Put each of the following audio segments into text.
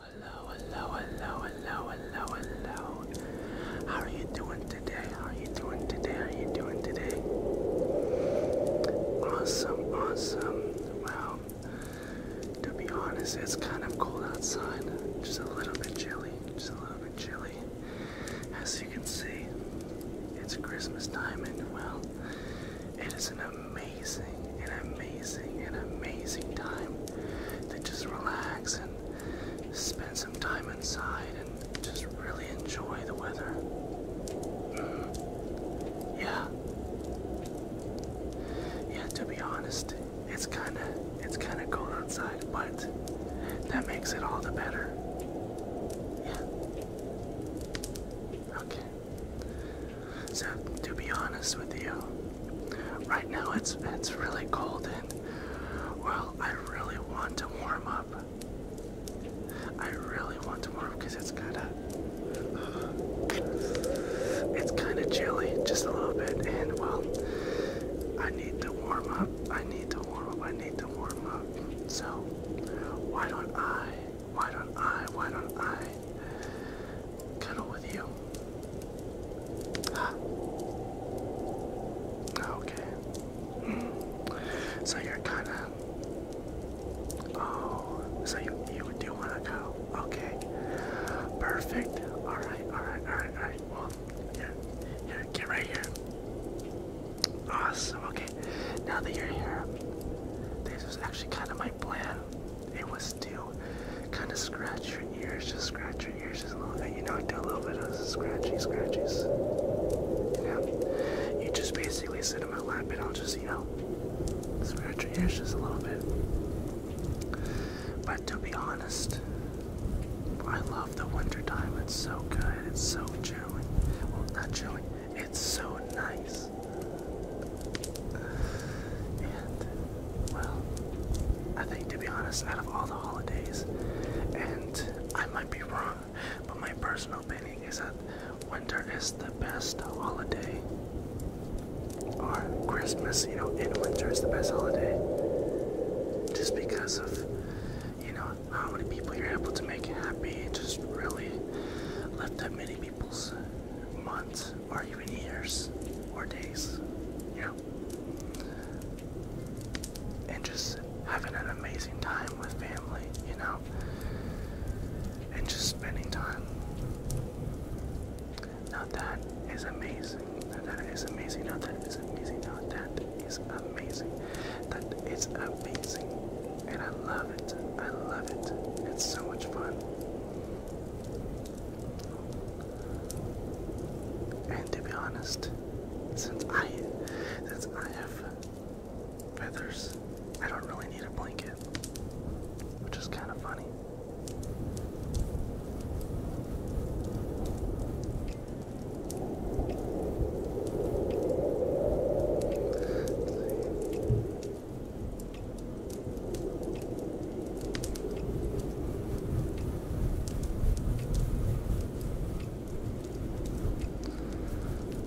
Hello, hello, hello, hello, hello, hello. How are you doing today? How are you doing today? How are you doing today? Awesome, awesome. Wow. to be honest, it's kind of cold outside. Just a little bit chilly. Just a little bit chilly. As you can see, it's Christmas time, and well, it is an amazing, an amazing, an amazing time to just relax and spend some time inside and just really enjoy the weather. Mm-hmm. Yeah. Yeah, to be honest, it's kind of it's kind of cold outside, but that makes it all the better. Okay. So to be honest with you, right now it's it's really cold and well, I really want to warm up. I really want to warm up because it's kind of it's kind of chilly, just a little bit, and well, I need to warm up. I need to warm up. I need to warm up. So why don't I? Why don't I? Why don't I kind with you. Ah. Oh, okay. So you're kind of. Oh, so you you do want to go? Okay. Perfect. All right. All right. All right. All right. Well, here, here, get right here. Awesome. Okay. Now that you're here, this is actually kind of my plan. It was do kind of scratch your ears, just scratch your ears just a little bit, you know, do a little bit of scratchy scratches. You just basically sit in my lap and I'll just, you know, scratch your ears just a little bit. But to be honest, I love the winter time. It's so good. It's so chilling. Well, not chilling. It's so nice well, I think to be honest, out of all the holidays, and I might be wrong, but my personal opinion is that winter is the best holiday. Or Christmas, you know, in winter is the best holiday. Just because of, you know, how many people you're able to make happy, just really lift that many people's months or even years or days, you know, and just having an amazing time with family, you know, and just spending time. Now that is amazing. Now that is amazing. Now that is amazing. Now that is amazing. That is amazing. And I love it. I love it. It's so much fun. And to be honest, since I since I have feathers, I don't really need a blanket, which is kind of funny.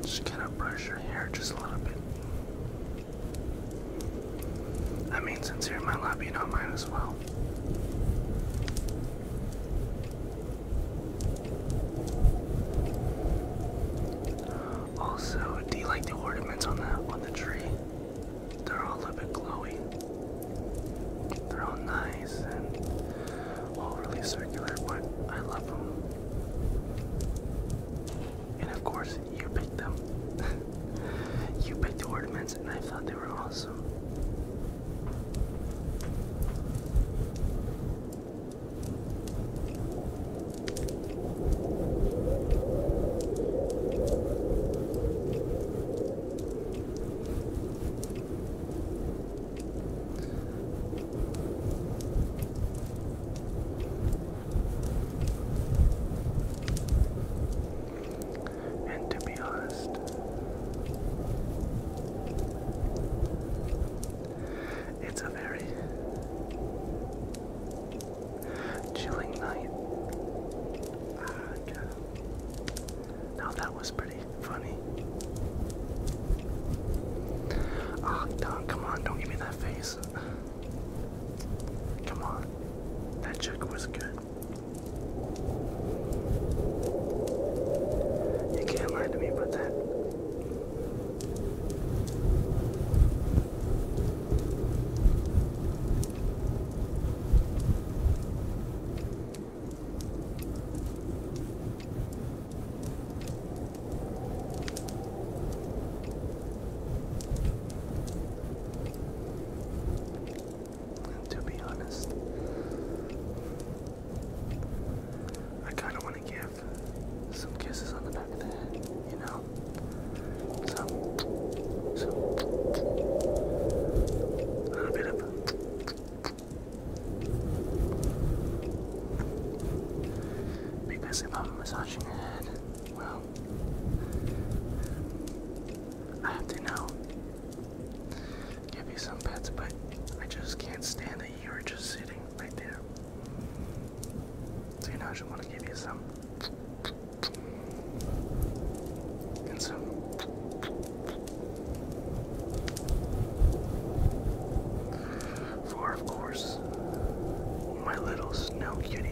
Just gonna brush your hair just a little bit. I mean, since you're in my lobby, you not mine as well. Also, do you like the ornaments on that one? the tree. They're all a little bit glowy. They're all nice and all really circular, but I love them. And of course, you picked them. you picked the ornaments, and I thought they were awesome. And to be honest, it's a very Chilling night. Ah, Now that was pretty funny. Ah, oh, Don, come on, don't give me that face. Come on. That joke was good. You can't lie to me about that to be honest, I kind of want to give some kisses on the back of the head, you know? So, so, a little bit of because if I'm massaging your head, well, I have to now give you some pets, but I just can't stand that you are just sitting right there. So you know I just want to give you some and some for of course my little snow cutie.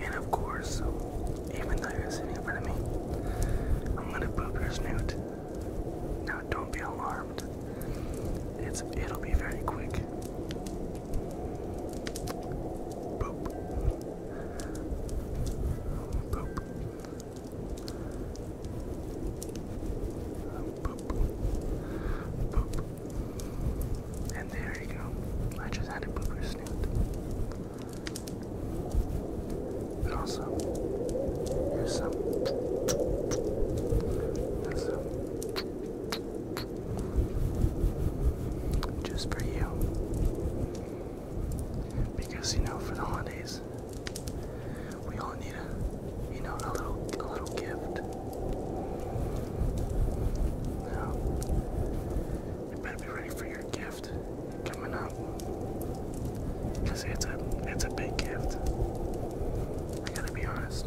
And of course, even though you're sitting in front of me, I'm gonna poop your snoot. Now, don't be alarmed. It's it'll be very quick. Boop. Boop. And there you go. I just had a booger snoot. And also, here's some. Here's Just for you because you know for the holidays we all need a you know a little a little gift. Now you better be ready for your gift coming up because it's a it's a big gift. I gotta be honest.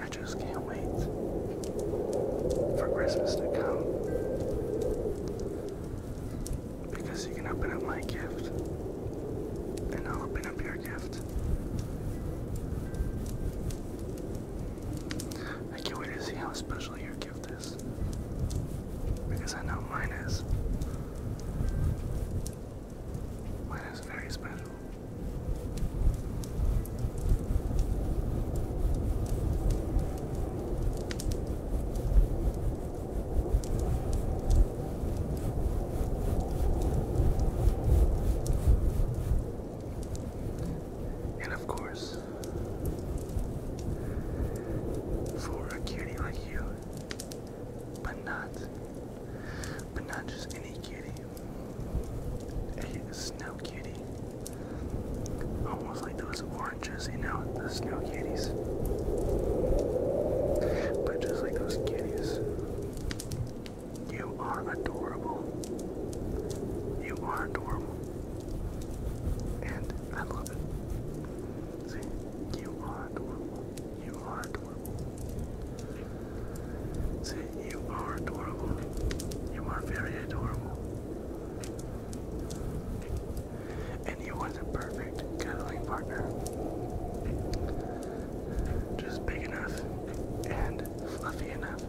I just can't wait for Christmas to come because you can open up my gift and I'll open up your gift. I can't wait to see how special your gift is. Because I know mine is. Mine is very special. And of course, for a cutie like you, but not, but not just any cutie, a snow cutie, almost like those oranges, you know, the snow cuties, but just like those cuties. You are adorable. You are adorable. And I love it. See, you are adorable. You are adorable. See, you are adorable. You are very adorable. And you are the perfect perfect partner. Just big enough and fluffy enough.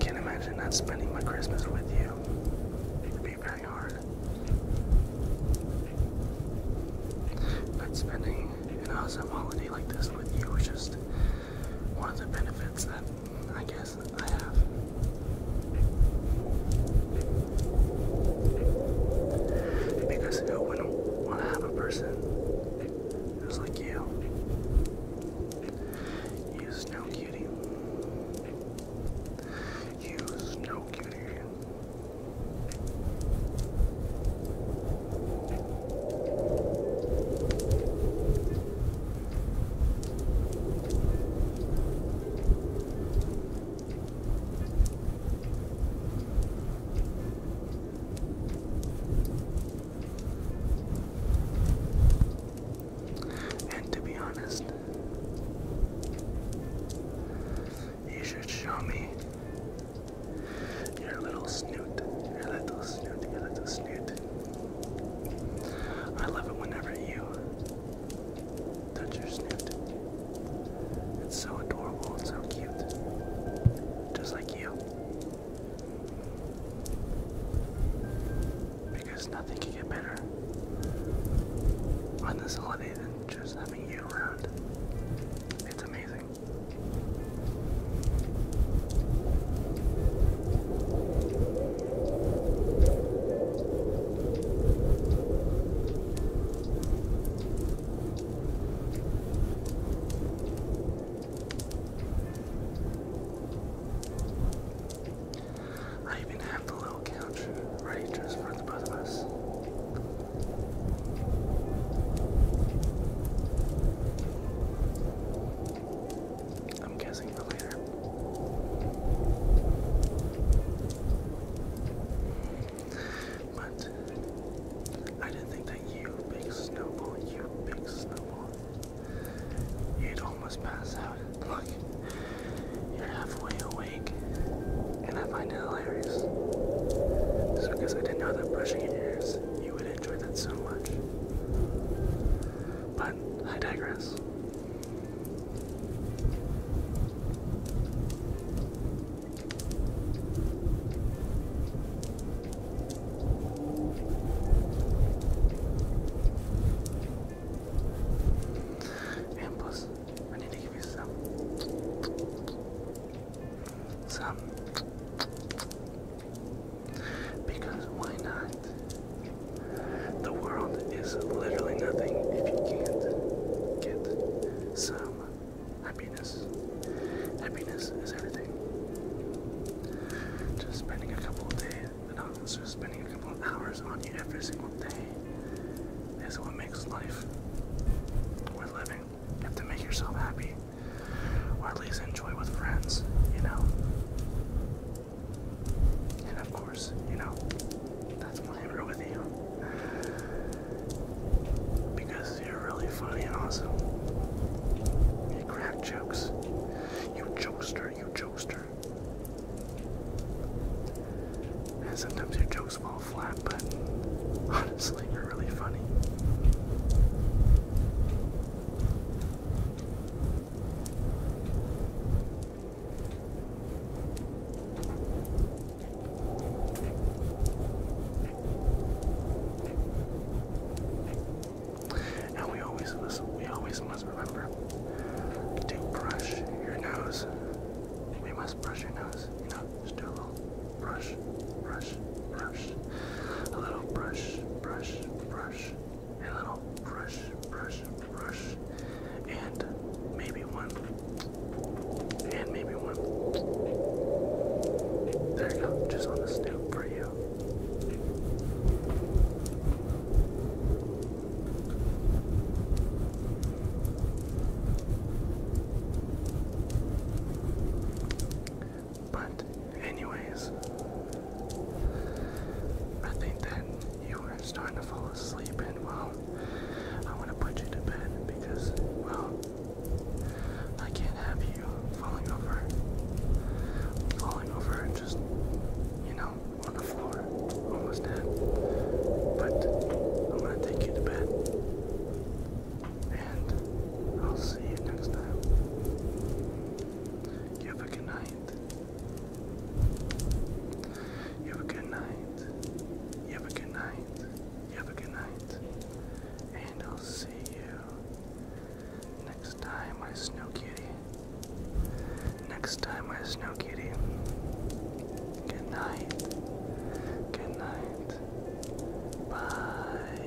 Can't imagine not spending my Christmas with you. It'd be very hard. But spending an awesome holiday like this with you is just one of the benefits that I guess I have. Because who wouldn't to have a person who's like you? You snow cutie. You snow cutie. And to be honest, you should show me your little snoot, your little snoot, your little snoot. I love it whenever you that's your snoot. It's so adorable and so cute. Just like you. Because nothing can get better on this holiday than just having you around. It's amazing. I even have the little couch ready just for the both of us. I'm guessing the later. But I didn't think that you, big snowball, you big snowball, you'd almost pass out. Look, you're halfway awake, and I find it hilarious. So because I didn't know that brushing your ears, you would enjoy that so much. But I digress. And I need to give you some, some, because why not? The world is literally nothing if you can't get some happiness. Happiness is everything. Just spending a couple of days, not just spending a couple of hours on you every single day is what makes life worth living. You have to make yourself happy, or at least enjoy with friends, you know? And of course, you know, that's my i with you. Because you're really funny and awesome. You crack jokes. You jokester, you jokester. And sometimes your jokes fall flat, but honestly, you're really funny. And we always must, we always must remember to brush your nose. We must brush your nose, you just do a little brush, brush, brush, a little brush, brush, brush a little brush, brush, brush, and maybe one, and maybe one. There you go, just on the snoop for you. But, anyways, I think that you are starting to fall asleep, and well, I want to put you to bed because, well, I can't have you falling over, falling over, and just, you know, on the floor, almost dead. But I'm gonna take you to bed, and I'll see you next time. You have a good night. You have a good night. You have a good night. You have a good night. And I'll see you next time, my snow kitty. Next time, my snow kitty. Good night. Good night. Bye.